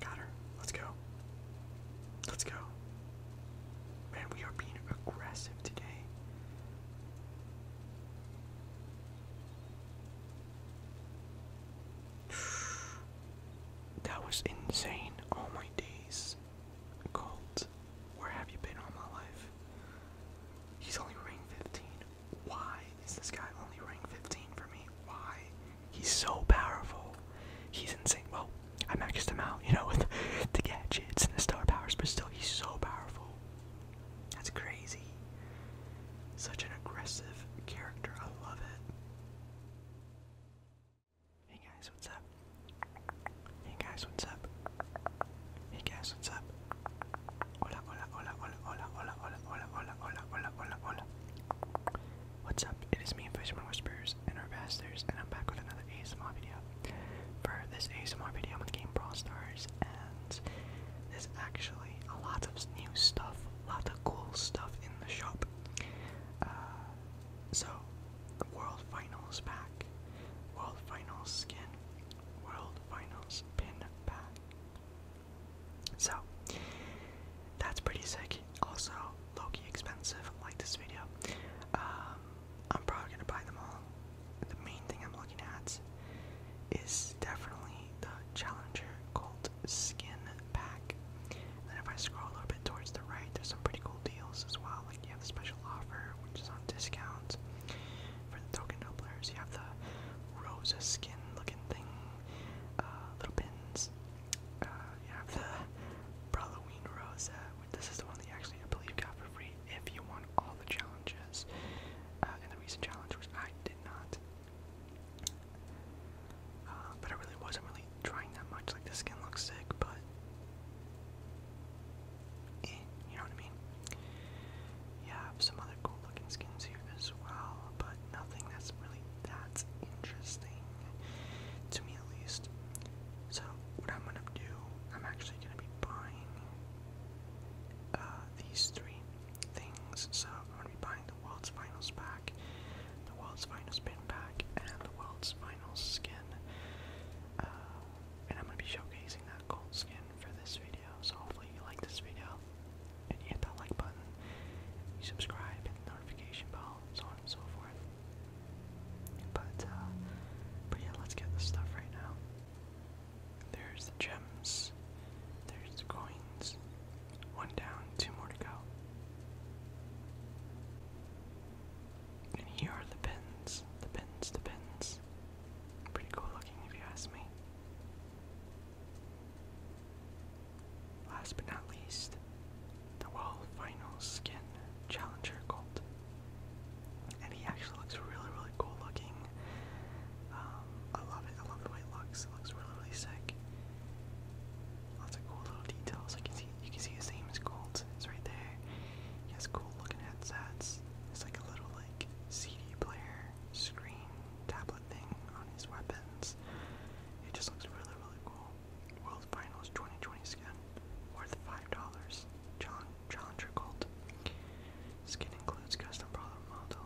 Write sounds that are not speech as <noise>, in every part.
Got her. Let's go. Let's go. Man, we are being aggressive today. <sighs> That was insane. All my days. Colt, where have you been all my life? He's only ranked 15. Why is this guy only ranked 15 for me? Why? He's so powerful. He's insane. Well, I maxed him out, you know, <laughs> with the gadgets and the star powers, but still, he's so powerful. That's crazy. Such an aggressive character. I love it. Hey guys, what's up? Hey guys, what's up? Hey guys, what's up? Hola, hola, hola, hola, hola, hola, hola, hola, hola, hola, hola, hola, hola. What's up? It is me, Fisherman Whispers, and our Bastards, and I'm back with another ASMR video. For this ASMR video, I'm in game Brawl Stars, and there's actually a lot of new stuff, a lot of cool stuff in the shop uh, so, World Finals pack, World Finals skin, World Finals pin pack. So, that's pretty sick. Also, Loki expensive, like this video. Um, I'm probably gonna buy them all. The main thing I'm looking at is definitely the Challenger called Skin Pack. And then if I scroll a little bit towards the right, there's some pretty cool deals as well. Like you have the special offer, which is on discount for the token no players. You have the Rosa skin looking thing, uh, little pins. Uh, you have the Halloween Rosa. This is the one that you actually, I believe, got for free if you won all the challenges uh, in the recent challenge, which I did not. Uh, but I really wasn't really trying that much. Like the skin looks sick, but eh, you know what I mean. Yeah, have some other cool looking skins here as well, but nothing that's really that interesting to me at least. So what I'm gonna do, I'm actually gonna be buying uh, these three things. So I'm gonna be buying the world's finals pack, the world's finals pin pack, and the world's finals skin. Uh, and I'm gonna be showcasing that gold skin for this video. So hopefully you like this video, and you hit that like button, you subscribe, hit the notification bell, so on and so forth. But uh, but yeah, let's get this stuff right now. There's the gems. There's the coins. One down, two more to go. And here are the pins, the pins, the pins. Pretty cool looking if you ask me. Last but not least, the World Finals Skin Challenger Gold. And he actually looks really, really cool looking. Um, I love it. I love the way it looks. It looks really, really sick. Lots of cool little details. you can see his name is gold. It's right there. He has cool looking headsets. It's like a little like CD player screen tablet thing on his weapons. It just looks really really cool. World Finals 2020 skin, worth five dollars. John Challenger Gold. Skin includes custom problem model,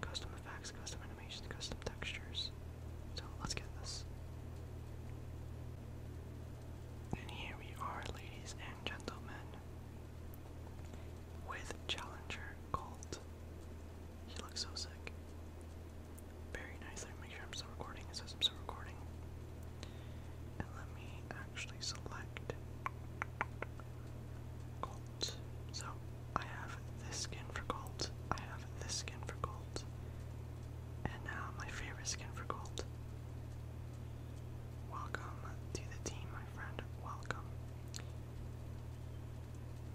custom effects, custom animations, custom textures. So let's get this. And here we are, ladies and gentlemen, with Challenger Colt. He looks so sick. Very nice. Let me make sure I'm still recording. It I'm still recording. And let me actually select Colt. So I have this skin for Colt. I have this skin for Colt and now my favorite skin for gold. Welcome to the team, my friend. Welcome.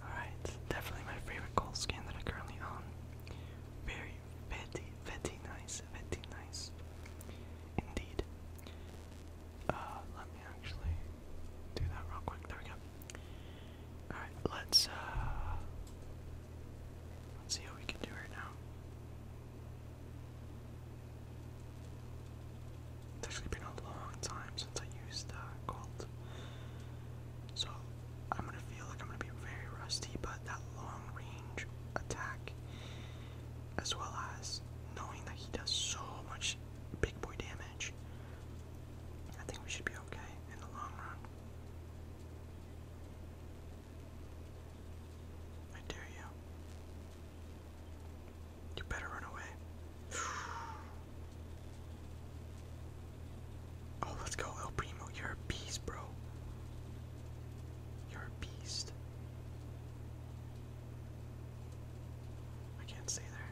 Alright, definitely my favorite gold skin that I currently own. Very, very, very nice, very nice. Indeed. Uh, let me actually do that real quick. There we go. Alright, let's uh, let's see how we can do right now. It's actually been a long time since I used uh Colt. So I'm gonna feel like I'm gonna be very rusty, but that long range attack as well as knowing that he does so much big boy damage. I think we should be okay in the long run. I dare you. You better run away. <sighs> Oh, let's go, El Primo. You're a beast, bro. You're a beast. I can't stay there.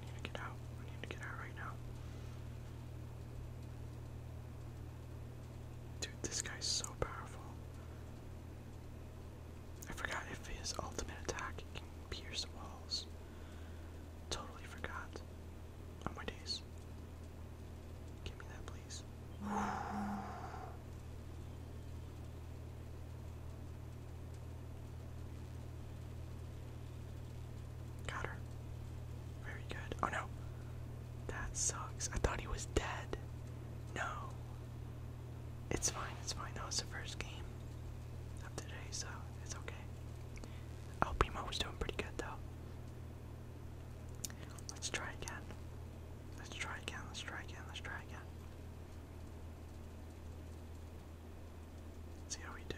I need to get out. I need to get out right now. Dude, this guy's so powerful. I forgot if his ultimate attack can pierce walls. Totally forgot. Oh my days. Give me that, please. Got her. Very good. Oh no. That sucks. I thought he was dead. No. It's fine, it's fine. That was the first game of today, so it's okay. El was doing pretty good though. Let's try again. Let's try again, let's try again, let's try again. See how we do.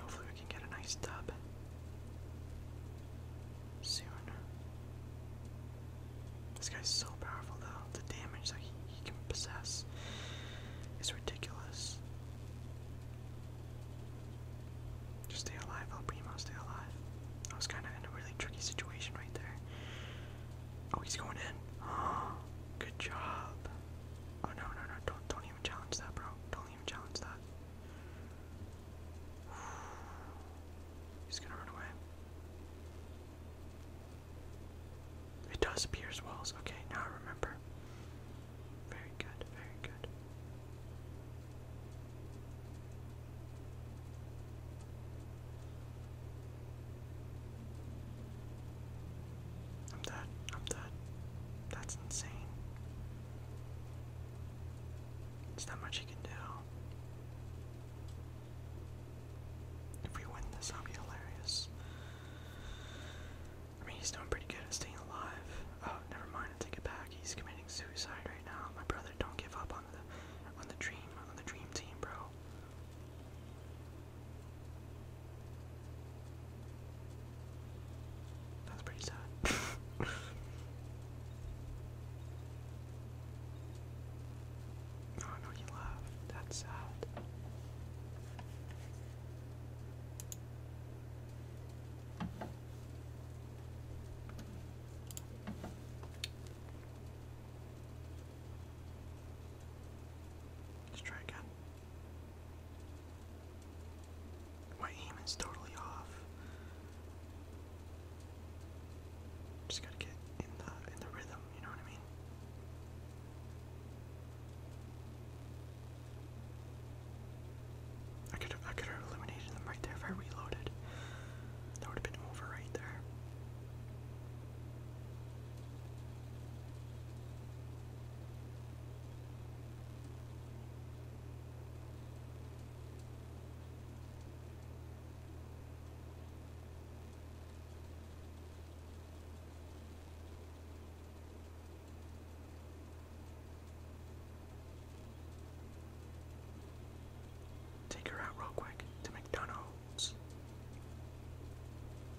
Hopefully, we can get a nice dub soon. This guy's so powerful, though. The damage that he, can possess is ridiculous. Just stay alive, El stay alive. I was kind of in a really tricky situation right there. Oh, he's going in. <gasps> good job. Oh no, no, no! Don't, don't even challenge that, bro. Don't even challenge that. <sighs> He's gonna run away. It does pierce walls. Okay, now remember. Very good, very good. I'm dead. I'm dead. That's insane. There's not much you can do. If we win this, that'll be hilarious. I mean, he's doing pretty good at staying alive. Oh, never mind. take it back. He's committing suicide right now. My brother, don't give up on the on the dream on the dream team, bro. That's pretty sad. Oh <laughs> no, he laughed. That's sad. Let's try again. My aim is totally off. Just gotta get in the in the rhythm, you know what I mean? I could I could have eliminated them right there if I reloaded. That would have been over right there. Take her out real quick to McDonald's.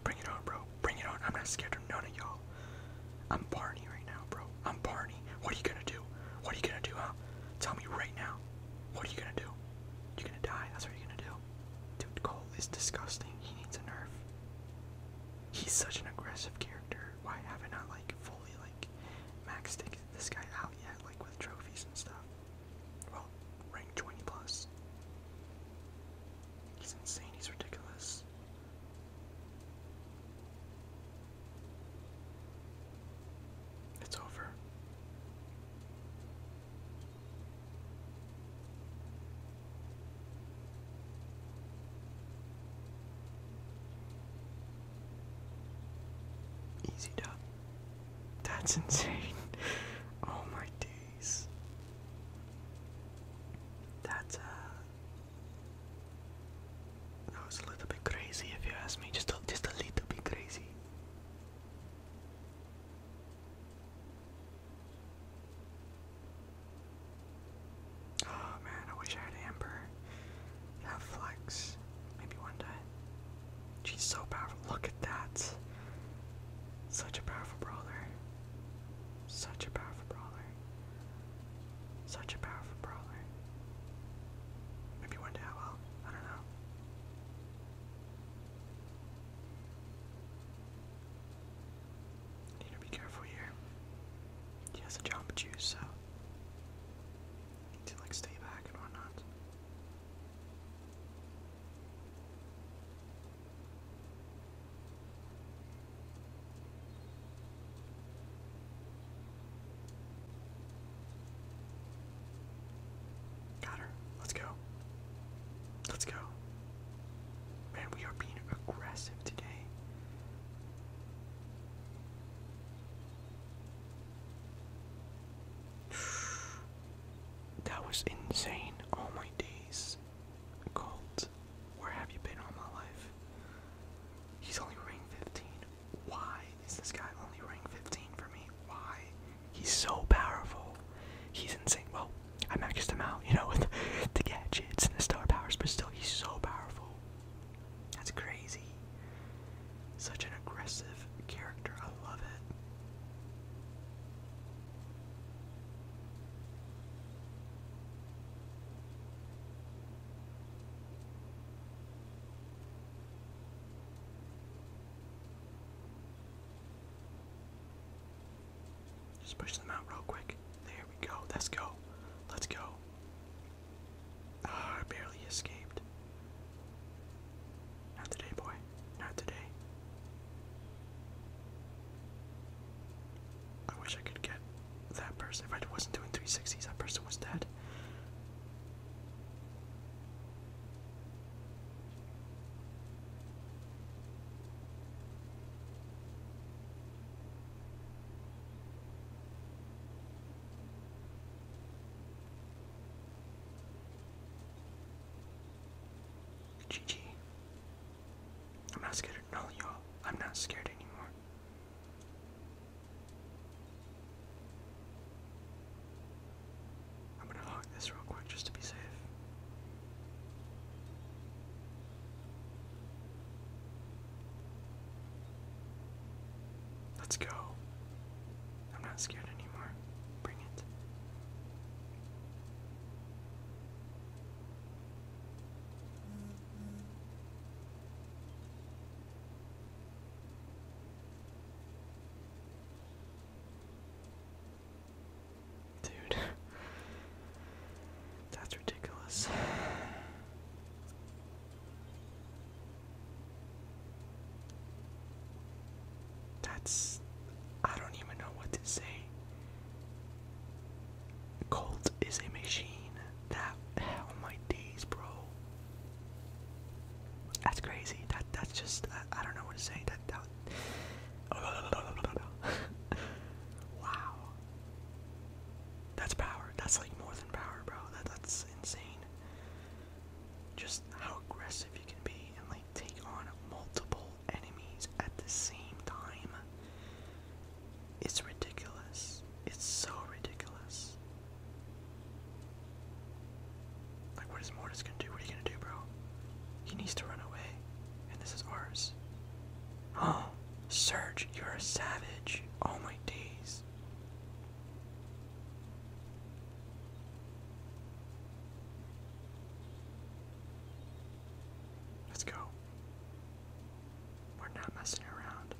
Bring it on, bro. Bring it on. I'm not scared of none of y'all. I'm Barney right now, bro. I'm Barney. What are you gonna do? What are you gonna do, huh? Tell me right now. What are you gonna do? You're gonna die. That's what you're gonna do. Dude, Cole is disgusting. He needs a nerf. He's such an aggressive character. Why haven't I like fully like maxed this guy out yet, like with trophies and stuff? Well, rank 20 plus. He's insane, he's ridiculous. It's over. Easy dub. That's <laughs> insane. Oh my dude. Nice. That's uh, that was a little bit crazy if you ask me. Just a just a little bit crazy. Oh man, I wish I had Amber. That flex. Maybe one day. She's so powerful. Look at that. Such a powerful brawler. Such a powerful brawler. Such a powerful brawler. Maybe one day I will. I don't know. Need to be careful here. He has a jump juice, so need to like stay back and whatnot. Got her. Let's go. Let's go. Man, we are being aggressive today. <sighs> That was insane. All my days. Colt, where have you been all my life? He's only ranked 15. Why is this guy only ranked 15 for me? Why? He's so powerful. He's insane. Well, I maxed him out, you know, <laughs> with the gadgets and the star powers, but still, he's so powerful. That's crazy. Such an aggressive character. I love it. Just push them out real quick. There we go. Let's go. Let's go. Ah, I barely escaped. Not today, boy. Not today. I wish I could get that person. If I wasn't doing 360s, that person was dead. GG. I'm not scared. No, y'all. I'm not scared anymore. I'm gonna lock this real quick just to be safe. Let's go. I'm not scared anymore. Bring it. Dude, <laughs> that's ridiculous. That's. I don't even know what to say. Colt is a machine. That. Hell, my days, bro. That's crazy. That. That's just. I, don't know what to say. That. that <laughs> wow. That's power. That's like more than power, bro. That that's insane. Just how aggressive you can be and like take on multiple enemies at the same time. It's ridiculous. It's so ridiculous. Like, what is Mortis gonna do? What are you gonna do, bro? He needs to run away. And this is ours. Oh, Serge, you're a savage. All oh my days. Let's go. We're not messing around.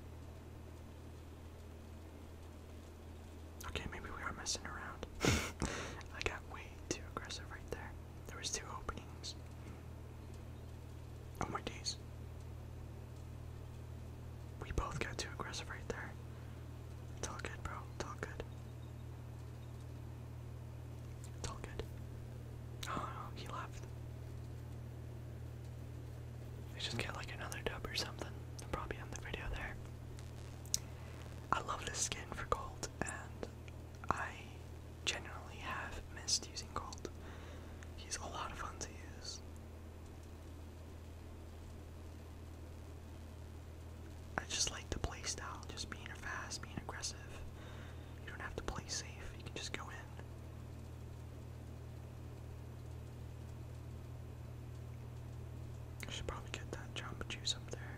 Okay, maybe we are messing around. <laughs> I got way too aggressive right there. There was two openings. Oh my days. We both got too aggressive right there. It's good, bro. It's good. It's all good. Oh no, oh, he left. We just get like another dub or something. i probably end the video there. I love this skin for gold, and I generally have missed using gold. He's a lot of fun to use. I just like the play style, just being fast, being aggressive. You don't have to play safe, you can just go in. I should probably get that Jamba Juice up there.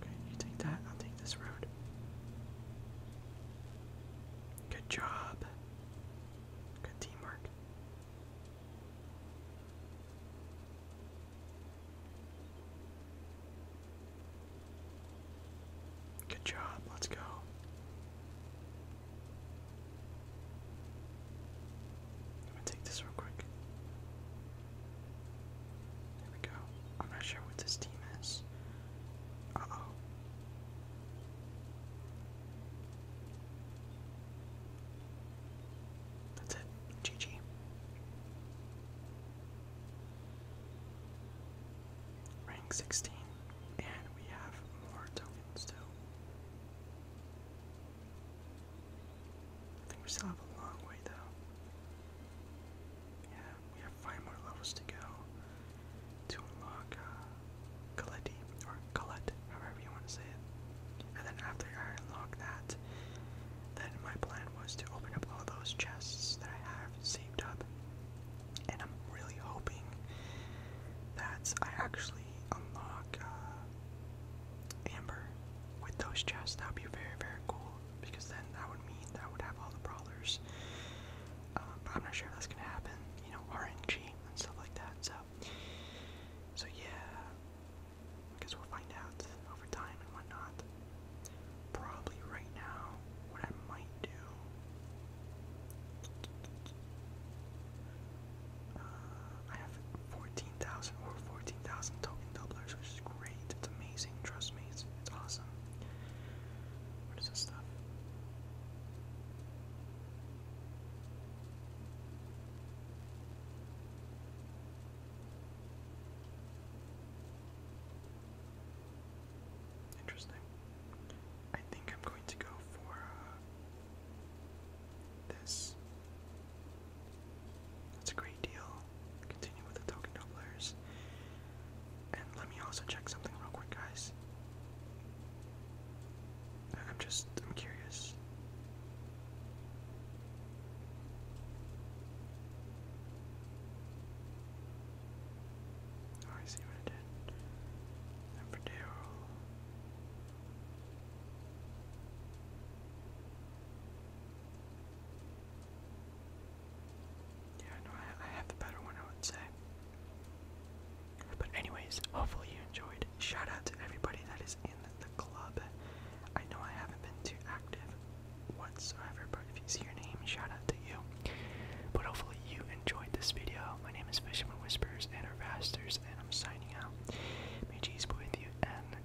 Okay, you take that, I'll take this road. Good job. Good teamwork. Good job, let's go. I'm take this real quick. There we go. I'm not sure what this team is. Uh oh. That's it. GG. Rank 16. And we have more tokens too. I think we still have a long way though. Yeah, we have five more levels to go to unlock uh, Coletti, or Colette, however you want to say it. And then after I unlock that, then my plan was to open up all those chests that I have saved up. And I'm really hoping that I actually unlock uh, Amber with those chests. That would be very, very cool because then that would mean that I would have all the brawlers. Um, I'm not sure if that's gonna happen, you know, RNG and stuff like that. So, so yeah, I we'll find out over time and whatnot. Probably right now, what I might do. Uh, I have 14,000 or 14,000 token doublers, which is great. It's amazing. Trust me, it's, it's awesome. What is this stuff? Interesting. I think I'm going to go for uh, this. That's a great deal. Continue with the token doublers. And let me also check something real quick, guys. I'm just, I'm curious. Oh, I see what I did. And for Yeah, no, I, I have the better one, I would say. But anyways, hopefully you enjoyed shout out to everybody that is in the club. I know I haven't been too active whatsoever, but if you see your name, shout out to you. But hopefully you enjoyed this video. My name is Fisherman Whispers and our and I'm signing out. May Jesus be with you and